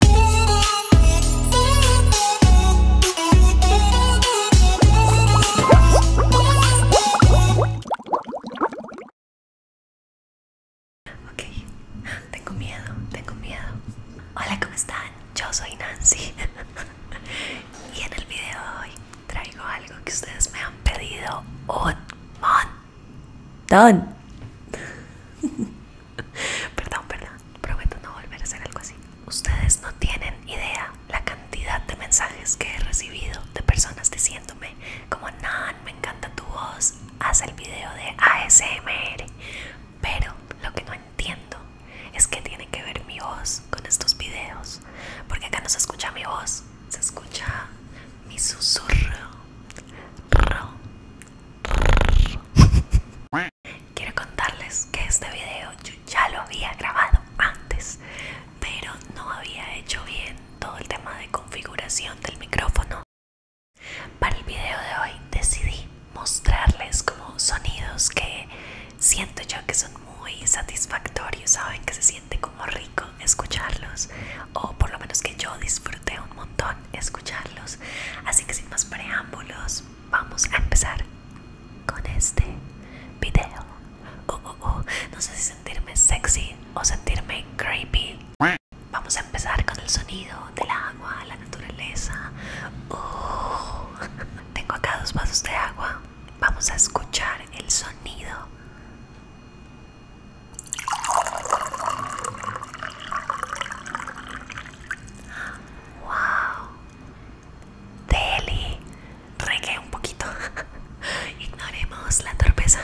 Ok, tengo miedo, tengo miedo. Hola, ¿cómo están? Yo soy Nancy. y en el video de hoy traigo algo que ustedes me han pedido un montón. perdón, perdón, prometo no volver a hacer algo así. Ustedes no tienen idea la cantidad de mensajes que he recibido de personas diciéndome como Nan, me encanta tu voz, haz el video de ASMR. Pero lo que no entiendo es que tiene que ver mi voz con estos videos. Porque acá no se escucha mi voz, se escucha mi susurro. Quiero contarles que este video yo ya lo había grabado antes, pero no había hecho bien todo el tema de configuración del micrófono. Para el video de hoy decidí mostrarles como sonidos que siento yo que son muy satisfactorios, saben que se siente como rico escucharlos o por lo menos que yo disfruté un montón escucharlos. Así que sin más preámbulos, vamos a empezar con este video. Oh, oh, oh. No sé si sentirme sexy o sentirme creepy. Vamos a empezar con el sonido del agua, la naturaleza. Tengo acá dos vasos de agua. Vamos a escuchar el sonido Wow. Deli. Regué un poquito. Ignoremos la torpeza,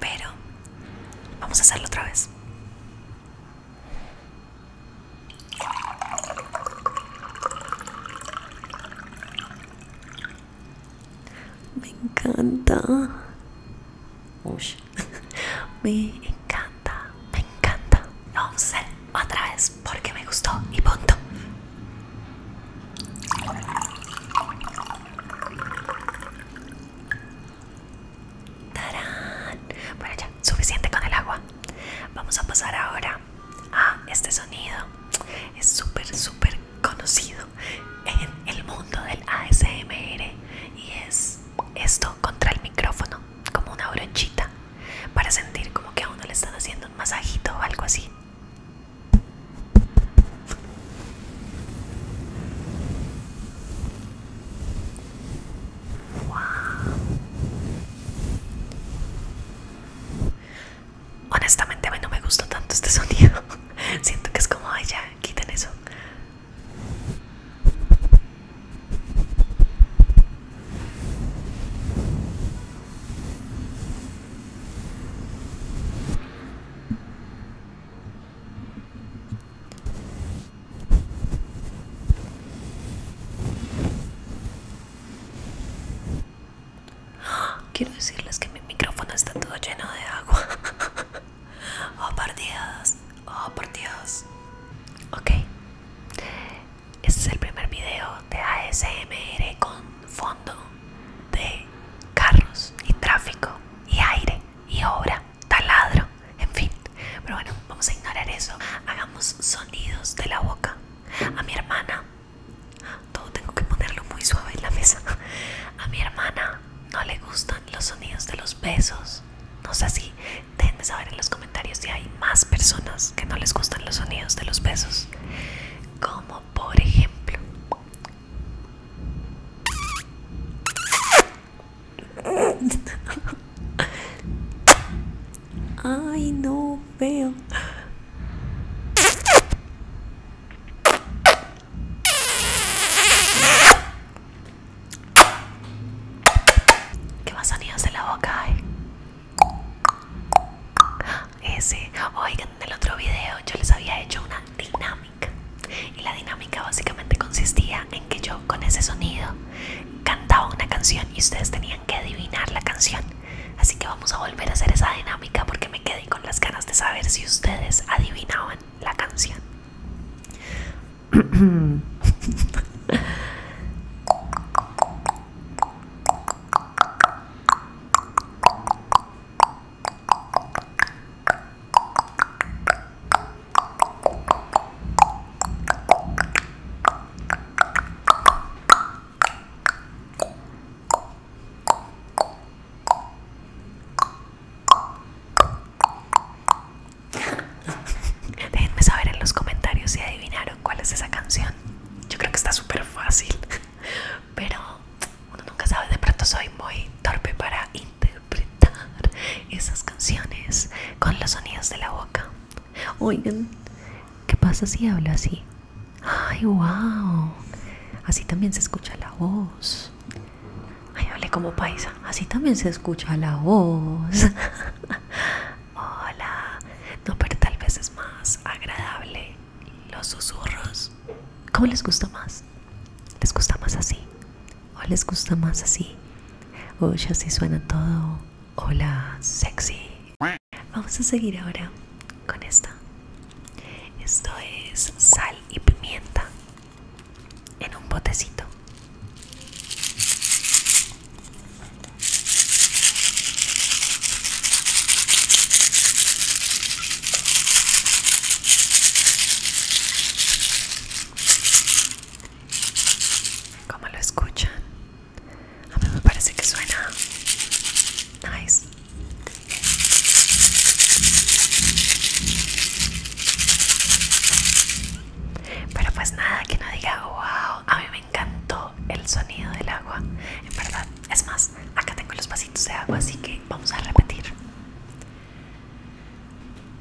pero vamos a hacerlo otra vez. Me encanta. Me encanta, me encanta. No hacer otra vez, porque me gustó y punto. Bueno, ya, suficiente con el agua. Vamos a pasar ahora a este sonido. Es súper, súper conocido en el mundo del ASMR y es esto contra el micrófono, como una bronchita para sentir como que a uno le están haciendo un masajito o algo así honestamente a mí no me gustó tanto este sonido siento que es como ay ya quiten eso Quiero decirles que mi micrófono está todo lleno de agua. Oh, por dios, Oh, por dios Ok. Este es el primer video de ASMR con fondo de carros y tráfico y aire y obra, taladro, en fin. Pero bueno, vamos a ignorar eso. Hagamos sonidos de la boca. A mi hermana todo tengo que ponerlo muy suave en la mesa. A mi hermana no le gustan los sonidos de los besos. No sé si déjenme saber en los comentarios si hay más personas que no les gustan los sonidos de los besos. Como por ejemplo... Ay, no veo. ¿Qué más sonidos de la boca hay? Ese, oigan, en el otro video yo les había hecho una dinámica y la dinámica básicamente consistía en que yo con ese sonido cantaba una canción y ustedes tenían que adivinar la canción Así que vamos a volver a hacer esa dinámica porque me quedé con las ganas de saber si ustedes adivinaban la canción. Déjenme saber en los comentarios si adivinaron cuál es esa canción. Yo creo que está súper fácil, pero uno nunca sabe. De pronto soy muy torpe para interpretar esas canciones con los sonidos de la boca. Oigan, ¿qué pasa si habla así? ¡Ay, wow! Así también se escucha la voz. Ay, hablé como paisa. Así también se escucha la voz. Hola. No, pero tal vez es más agradable los susurros. ¿Cómo les gusta más? ¿Les gusta más así? ¿O les gusta más así? Uy, así suena todo Hola, sexy. Vamos a seguir ahora con esta. Esto es sal y pimienta en un botecito. ¿Cómo lo escuchan? A mí me parece que suena nice. Pero pues nada, que no diga wow, a mí me encantó el sonido del agua. En verdad, es más, acá tengo los pasitos de agua, así que vamos a repetir.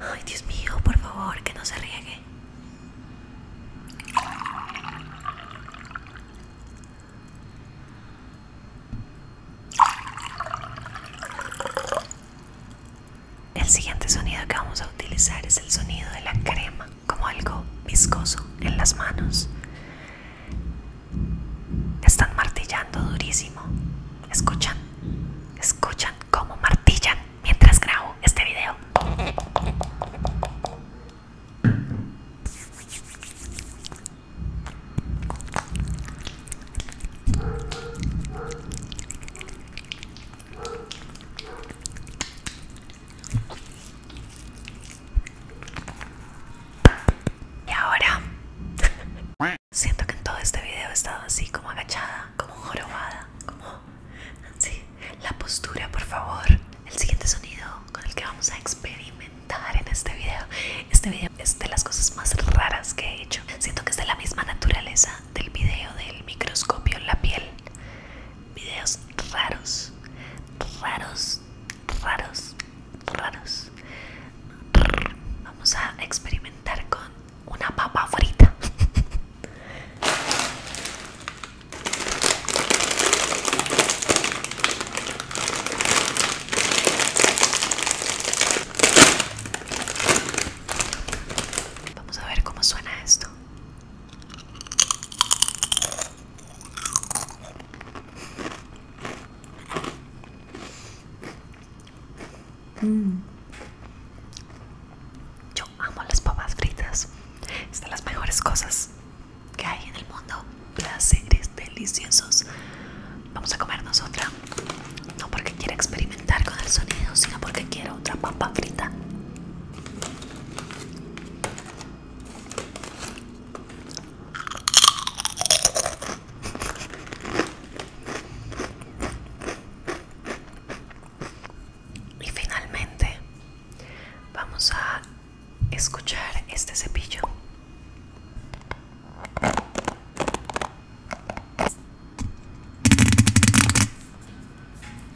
Ay, Dios mío, por favor, que no se riegue. El siguiente sonido que vamos a utilizar es el sonido de la crema, como algo viscoso en las manos. Están martillando durísimo. Escuchan, escuchan cómo martillan mientras grabo este video. Y ahora Siento que en todo este video he estado así como agachada, como jorobada, como así. La postura, por favor. El siguiente sonido con el que vamos a experimentar en este video. Este video es de las cosas más raras que he hecho. Siento que es de la misma naturaleza del video del microscopio en la piel. Videos raros, raros, raros, raros. Vamos a experimentar con una papa frita. Vamos a ver cómo suena esto. Mm. Yo amo las papas fritas. Es las mejores cosas que hay en el mundo. Placeres deliciosos. Vamos a comernos otra. No porque quiera experimentar con el sonido, sino porque quiero otra papa frita. Y finalmente vamos a escuchar este cepillo.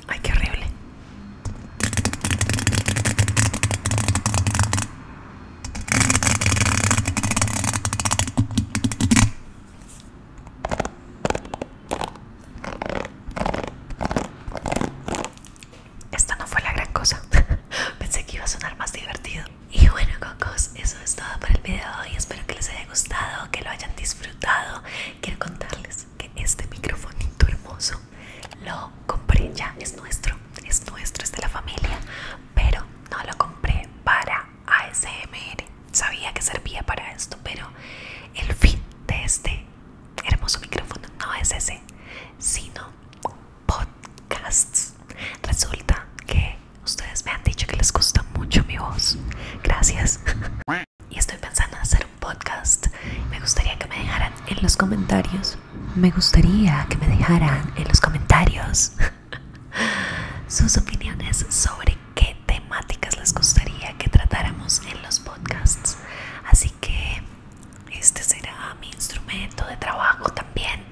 Ay, qué horrible. Esta no fue la gran cosa. Pensé que iba a sonar más divertido. Y bueno, cocos, eso es todo por el video de hoy. Espero que les haya gustado, que lo hayan disfrutado. Quiero contarles que este microfonito hermoso lo compré ya, es nuestro, es nuestro, es de la familia, pero no lo compré para ASMR. Sabía que servía para esto, pero el fin de este hermoso micrófono no es ese, sino podcasts. Resulta que ustedes me han dicho que les gusta mucho mi voz. Gracias. Y estoy pensando en hacer un podcast. Me gustaría que me dejaran en los comentarios me gustaría que me dejaran en los comentarios sus opiniones sobre qué temáticas les gustaría que tratáramos en los podcasts. Así que este será mi instrumento de trabajo también.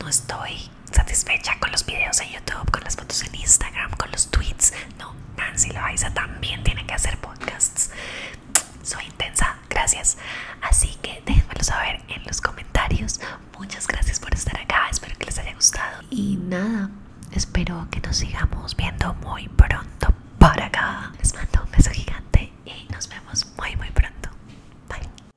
No estoy satisfecha con los videos en YouTube, con las fotos en Instagram, con los tweets. No, Nancy Loaiza también tiene que hacer podcasts. Soy intensa, gracias. Así que déjenmelo saber en los comentarios. Muchas gracias por estar acá, espero que les haya gustado. Y nada, espero que nos sigamos viendo muy pronto por acá. Les mando un beso gigante y nos vemos muy muy pronto. Bye.